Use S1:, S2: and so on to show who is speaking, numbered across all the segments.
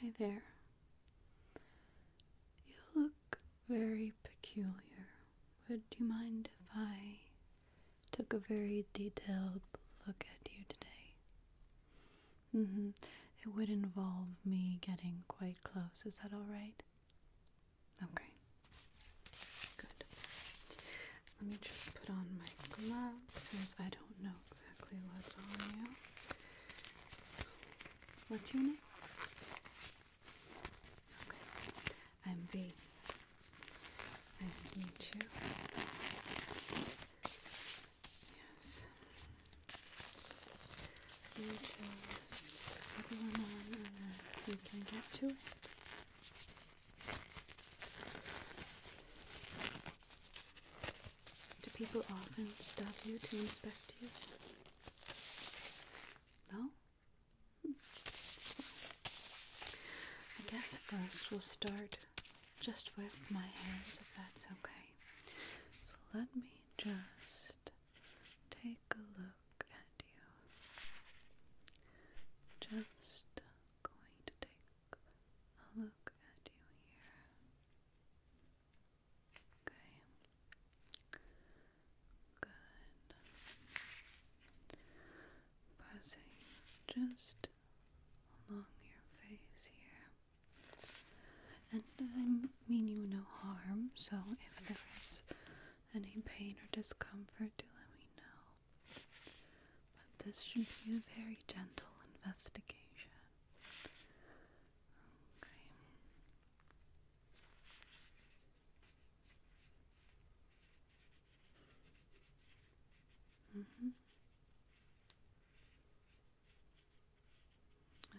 S1: Hi there. You look very peculiar. Would you mind if I took a very detailed look at you today? Mm-hmm. It would involve me getting quite close. Is that alright? Okay. Good. Let me just put on my gloves since I don't know exactly what's on you. What's your name? Okay. I'm V. Nice to meet you. Yes. You just keep one on and then you can get to it. Do people often stop you to inspect you? No? Hmm. I guess first we'll start just with my hands, if that's okay. So let me just take a look at you. Just going to take a look at you here. Okay. Good. Passing just along your face here. And I mean you no harm, so if there is any pain or discomfort, do let me know. But this should be a very gentle investigation. Okay. Mm -hmm. Okay.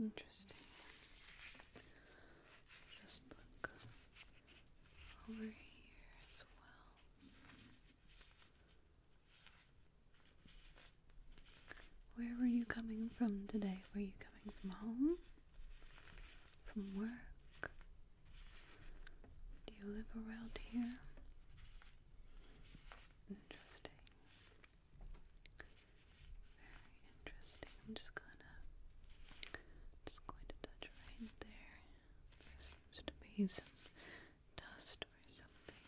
S1: Interesting. Just look over here as well. Where were you coming from today? Were you coming from home? From work? Do you live around here? Interesting. Very interesting. I'm just gonna just going to touch right there. There seems to be some dust or something.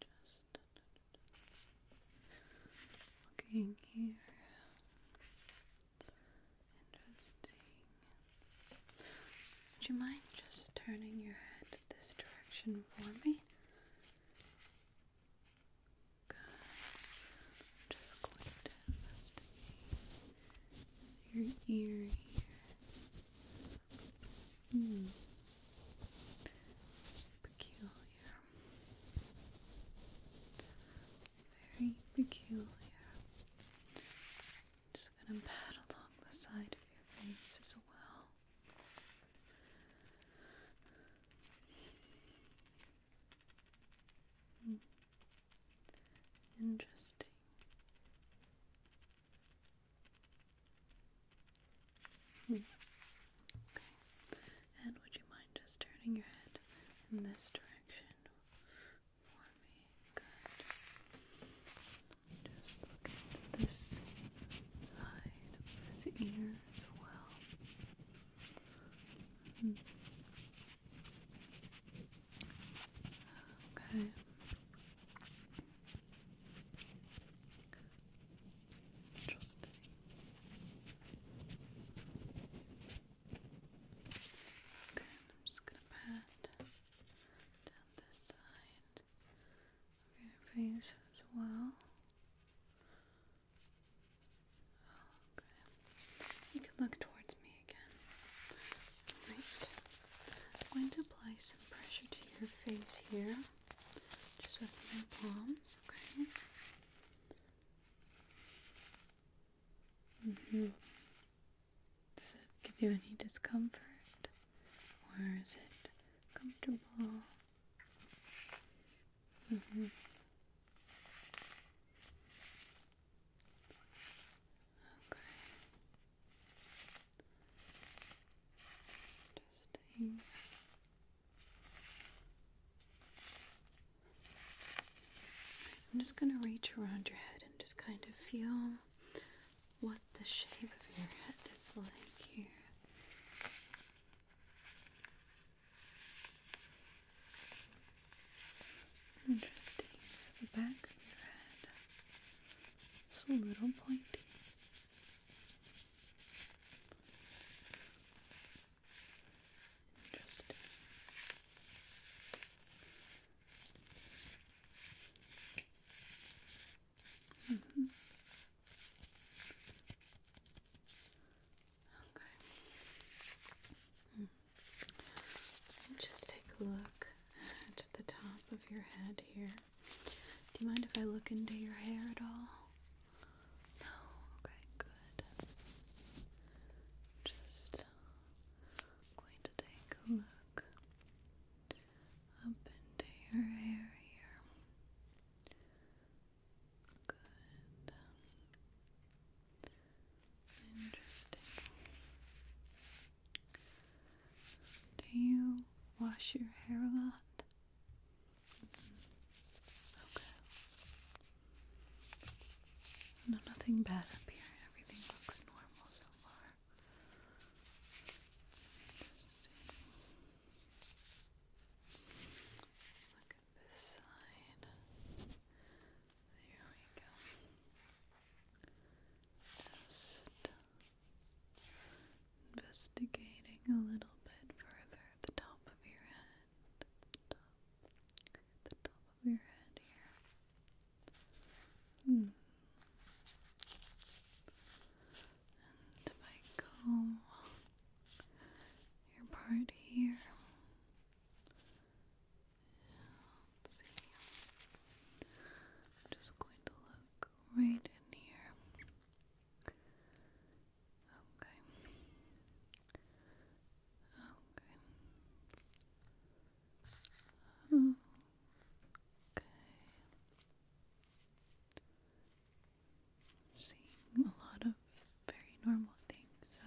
S1: Just looking here. Interesting. Would you mind just turning your head this direction for me? Good. just going to investigate your ear here. Hmm. Peculiar. Very peculiar. just gonna pat along the side of your face as well. Hmm. Interesting. Hmm. Okay. And would you mind just turning your head in this direction for me? Good. Just look at this side of this ear as well. -hmm. Okay. Interesting. Okay, I'm just gonna pat down this side of your face as well. Okay. You can look towards me again. I'm going to apply some pressure to your face here, just with my palms, okay? Mm-hmm. Does it give you any discomfort? Or is it comfortable? Mm-hmm. Okay. Interesting. I'm just going to reach around your head and just kind of feel what the shape of your head is like here. Interesting. the back of your head is a little pointy. Interesting. Mm-hmm. Okay. Hmm. Let just take a look at the top of your head here. Do you mind if I look into your hair at all? No? Okay, good. Just uh, going to take a look up into your hair here. Good. Interesting. Do you wash your hair a lot? Okay. No, nothing bad up here. Everything looks normal so far. Interesting. look at this side. There we go. Just investigating a little bit further at the top of your head. the top, of your head here. Hmm. And if I your part here, Let's see. I'm just going to look right in here. Okay. Okay. Okay. seeing a lot of very normal things, so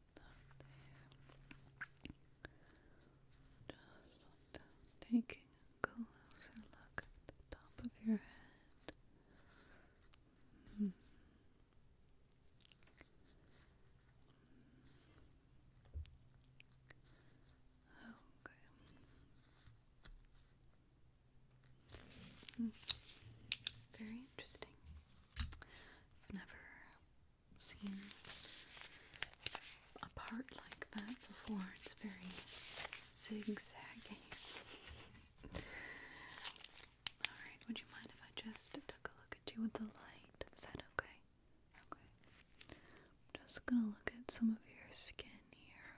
S1: Just taking a closer look at the top of your head. Mm Okay. Hmm. Very interesting. never seen a part like that before. It's very zigzaggy. Alright, would you mind if I just took a look at you with the light? Is that okay? Okay. just gonna look at some of your skin here.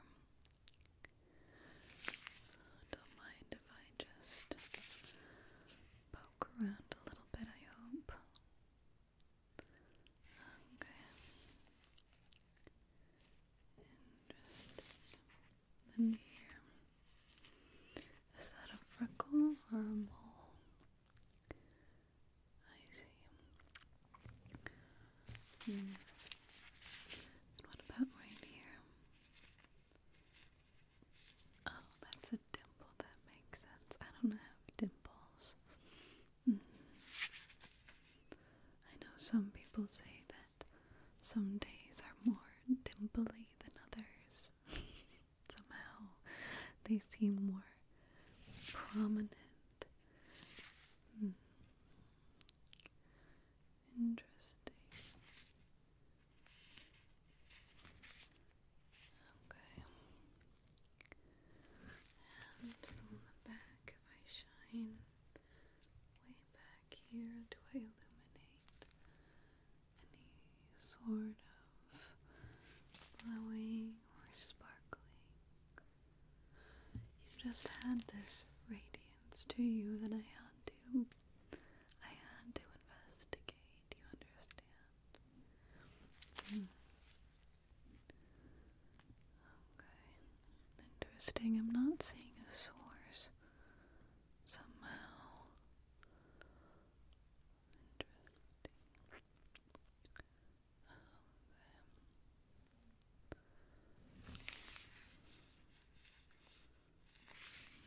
S1: Don't mind if I just poke around a little bit, I hope. Okay. And just here. Is that a freckle or a mole? I see. Hmm. what about right here? Oh, that's a dimple. That makes sense. I don't have dimples. Mm-hmm. I know some people say that some days are more dimply than others. Somehow they seem more prominent. Hmm. Interesting. Okay. And from the back, if I shine way back here, do I illuminate any sort of glowing or sparkling? You just had this radiance to you that I had to. I had to investigate. Do you understand? Okay. Hmm. Interesting. I'm not seeing a source somehow. Interesting.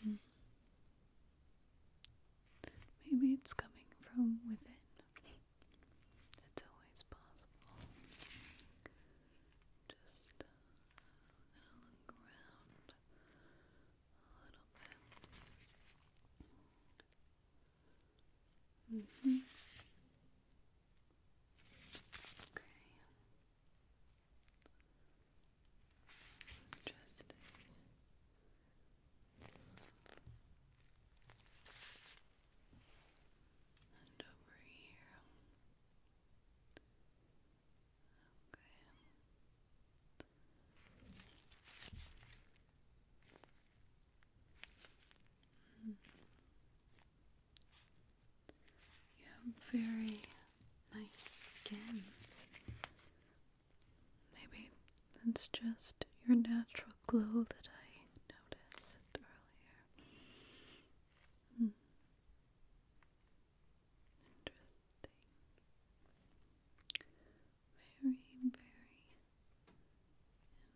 S1: Okay. Hmm. Maybe it's coming from within. It's always possible. Just gonna uh, look around a little bit. Mm -hmm. Okay. Interesting. And over here. Okay. Mm. You have very nice skin. Maybe that's just your natural glow that I noticed earlier. Hmm. Interesting. Very, very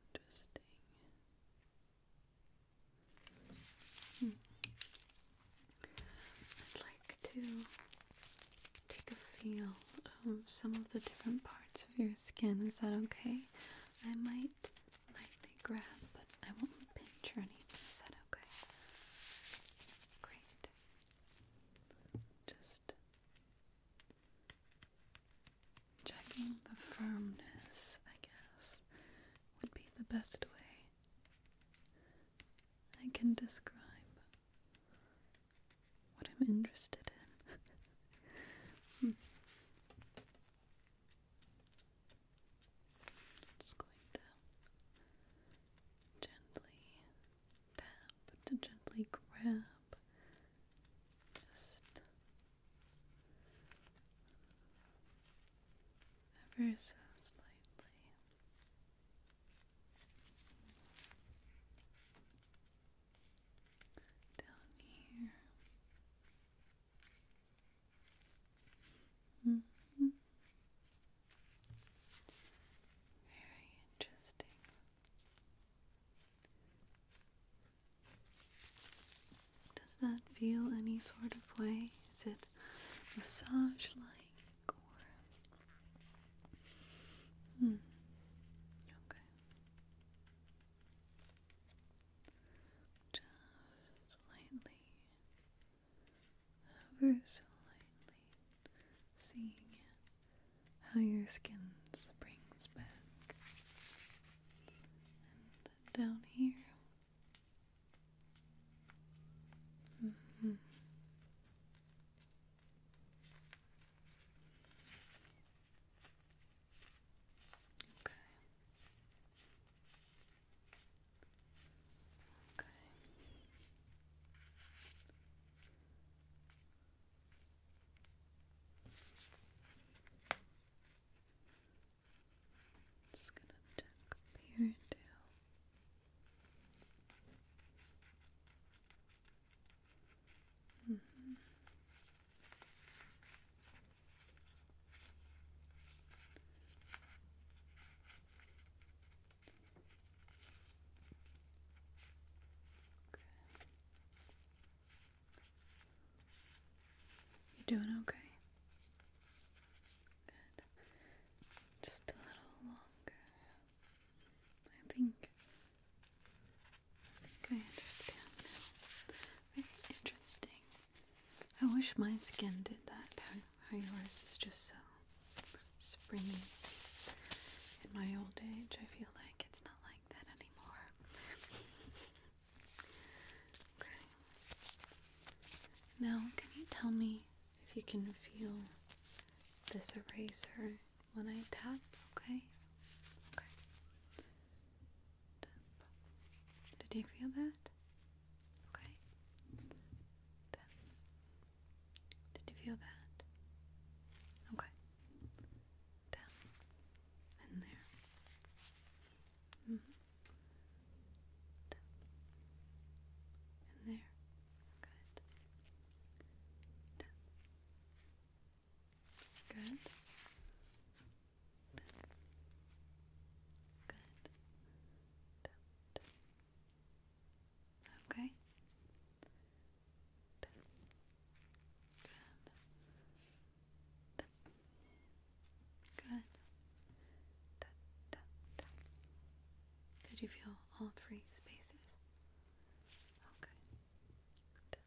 S1: interesting. Hmm. I'd like to take a feel of some of the different parts of your skin. Is that okay? I might lightly grab, but I won't pinch or anything. Is that okay? Great. Just checking the firmness, I guess, would be the best way I can describe what I'm interested in. Hmm. Just going to gently tap, to gently grab, just ever so slightly down here. -hmm. Very interesting. Does that feel any sort of way? Is it massage like? Hmm. Just slightly, ever slightly, seeing how your skin springs back. And down here. Mm-hmm. Okay. Okay. Just gonna check up here you're doing okay? Just a little longer. I think I understand Very interesting. I wish my skin did that. How, how yours is just so springy. In my old age, I feel like it's not like that anymore. okay. Now, can you tell me if you can feel this eraser when I tap, okay? Okay. Did you feel that? Okay. Did you feel that? Okay. Tap. In there. Mm In there. Good. Down. Good. Down. Good. Down, down. Okay. Down. Good. Down. Good. Down, down, down. Did you feel all three spaces? Okay. Okay.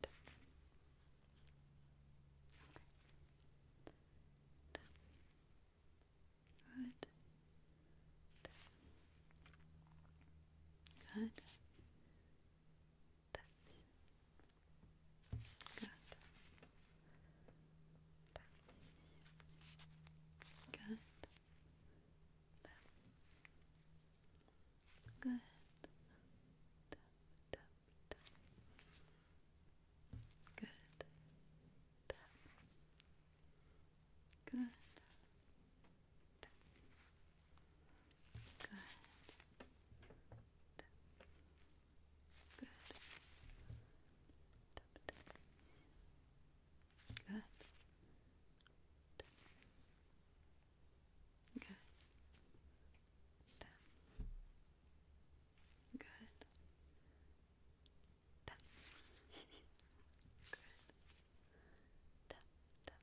S1: Good. Good. Good. Good. Good. Tap, Good. Good. Good. Good. Good. Good. Good. Tap. Good. Tap, Good.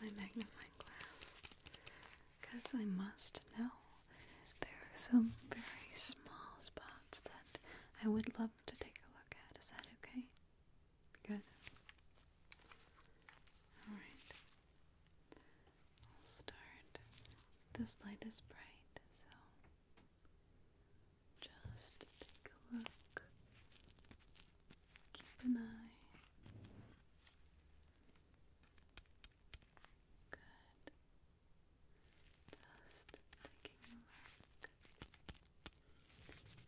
S1: my magnifying glass because I must know there are some very small spots that I would love to take a look at. Is that okay? Good. Alright. I'll start. This light is bright, so just take a look. Keep an eye. Good. Just taking a look.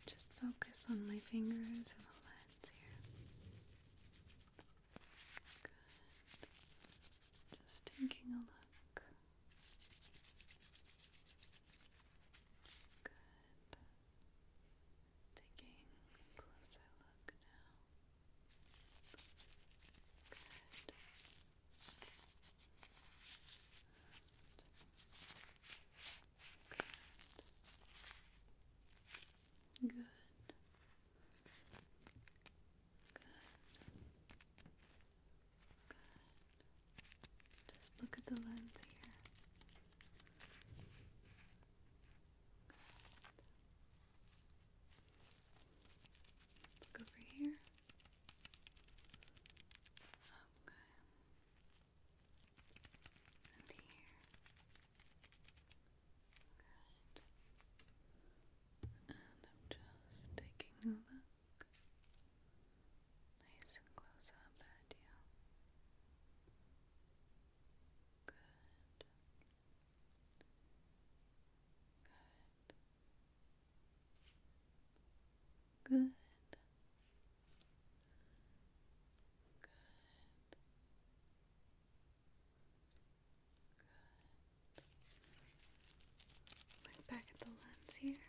S1: Just focus on my fingers and the lens here. Good. Just taking a look. Good. Taking closer look now. Good. Good. Good. Just look at the lens here. Look over here. Okay. And here. Good. And I'm just taking a look. Nice and close up at you. Good. Good. Good. Good. Good. Look back at the lens here.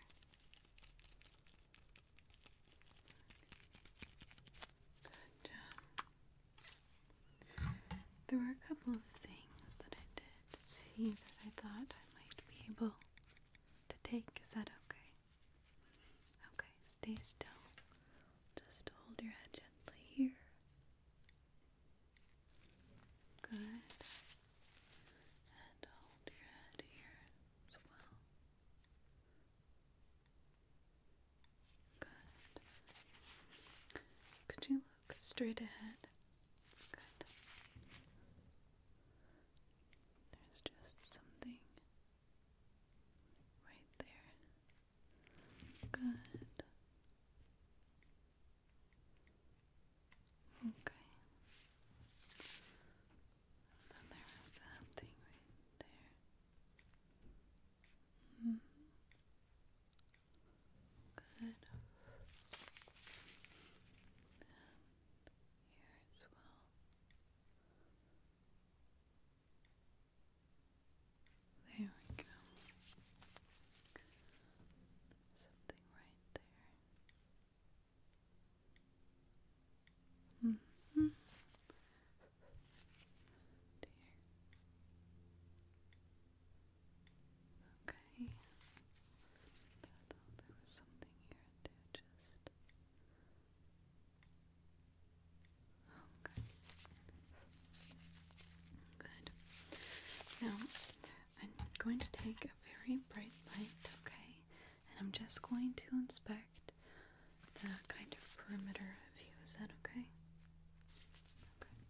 S1: Um, there were a couple of things that I did see that I thought I might be able to take. Is that okay? Okay, stay still. Just hold your head gently here. Good. And hold your head here as well. Could you look straight ahead? There's just something right there. Good. Okay then there that thing right there. Mm-hmm. Good. And here as well. There we go. Something right there. Mm -hmm. Okay. I thought there was something here just. Okay. Good. Now, I'm going to take a very bright light, okay? and I'm just going to inspect the kind of perimeter of you. Is that okay? Okay.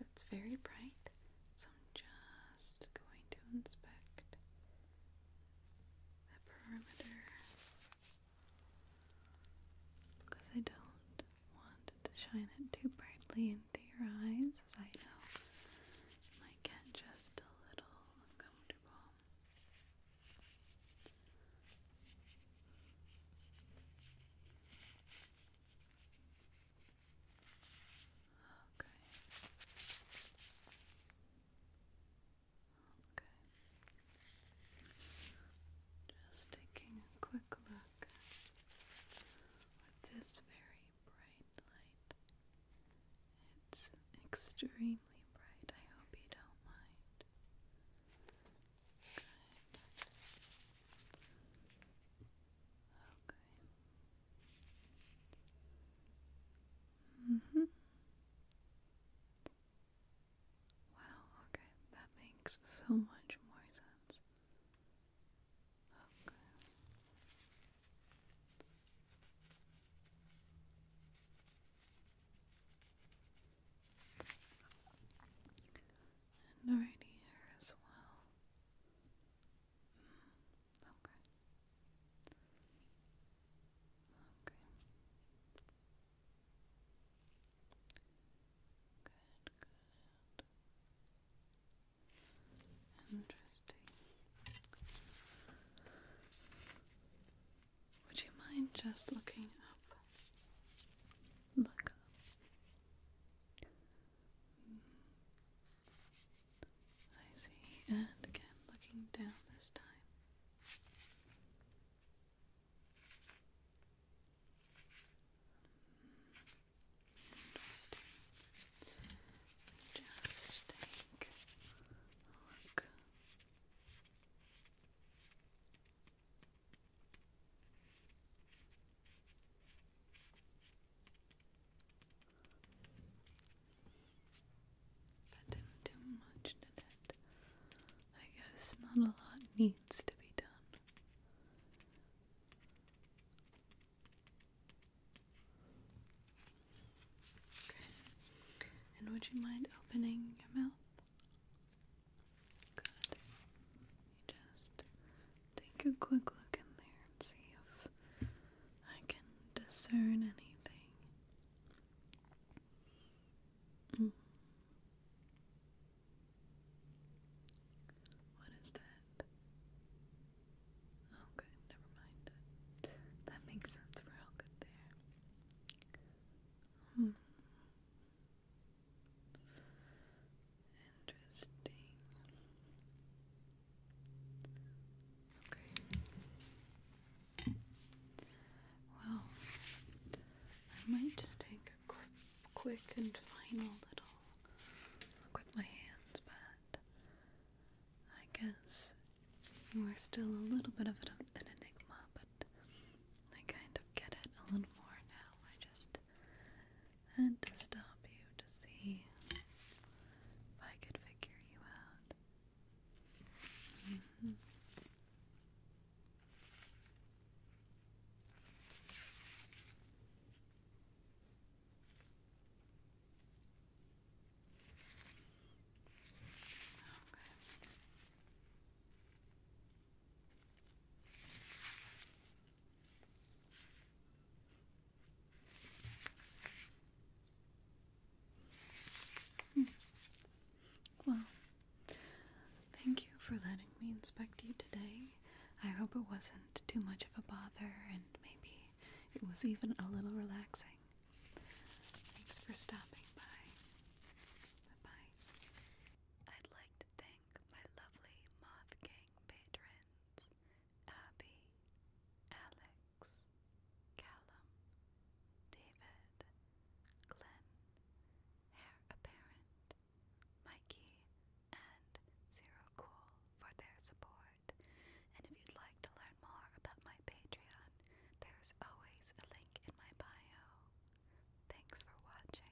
S1: it's very bright, so I'm just going to inspect the perimeter because I don't want to shine it too brightly into your eyes, as I know might get just a little comfortable. Okay. Okay. Just taking a quick look with this very bright light. It's extremely bright. I hope you don't mind. Good. Okay. Mm -hmm. Wow, okay, that makes so much more sense. Okay. And right here as well. okay. Mm, okay. Good, good. Interesting. Would you mind just looking up? Look hmm. I see, and again looking down this time. Hmm. Interesting. Just take a look. That didn't do much, did it? I guess not a lot needs to be done. And would you mind opening your mouth? Good. just take a quick look in there and see if I can discern anything. Mm. What is that? Okay, never mind. That makes sense. We're all good there. Hmm. Interesting. Okay. Well, I might just take a quick and final little look with my hands, but I guess you are still a little bit of an, enigma, but I kind of get it a little more now. I just had to stop you to see if I could figure you out. Mm-hmm. Hmm. Well, thank you for letting me inspect you today. I hope it wasn't too much of a bother and maybe it was even a little relaxing. Thanks for stopping by. Bye bye. I'd like to thank my lovely Moth Gang patrons Abby, Alex, Callum, David, Glenn, Hair Apparent, Mikey, and Zero Cool for their support. And if you'd like to learn more about my Patreon, there's always a link in my bio. Thanks for watching.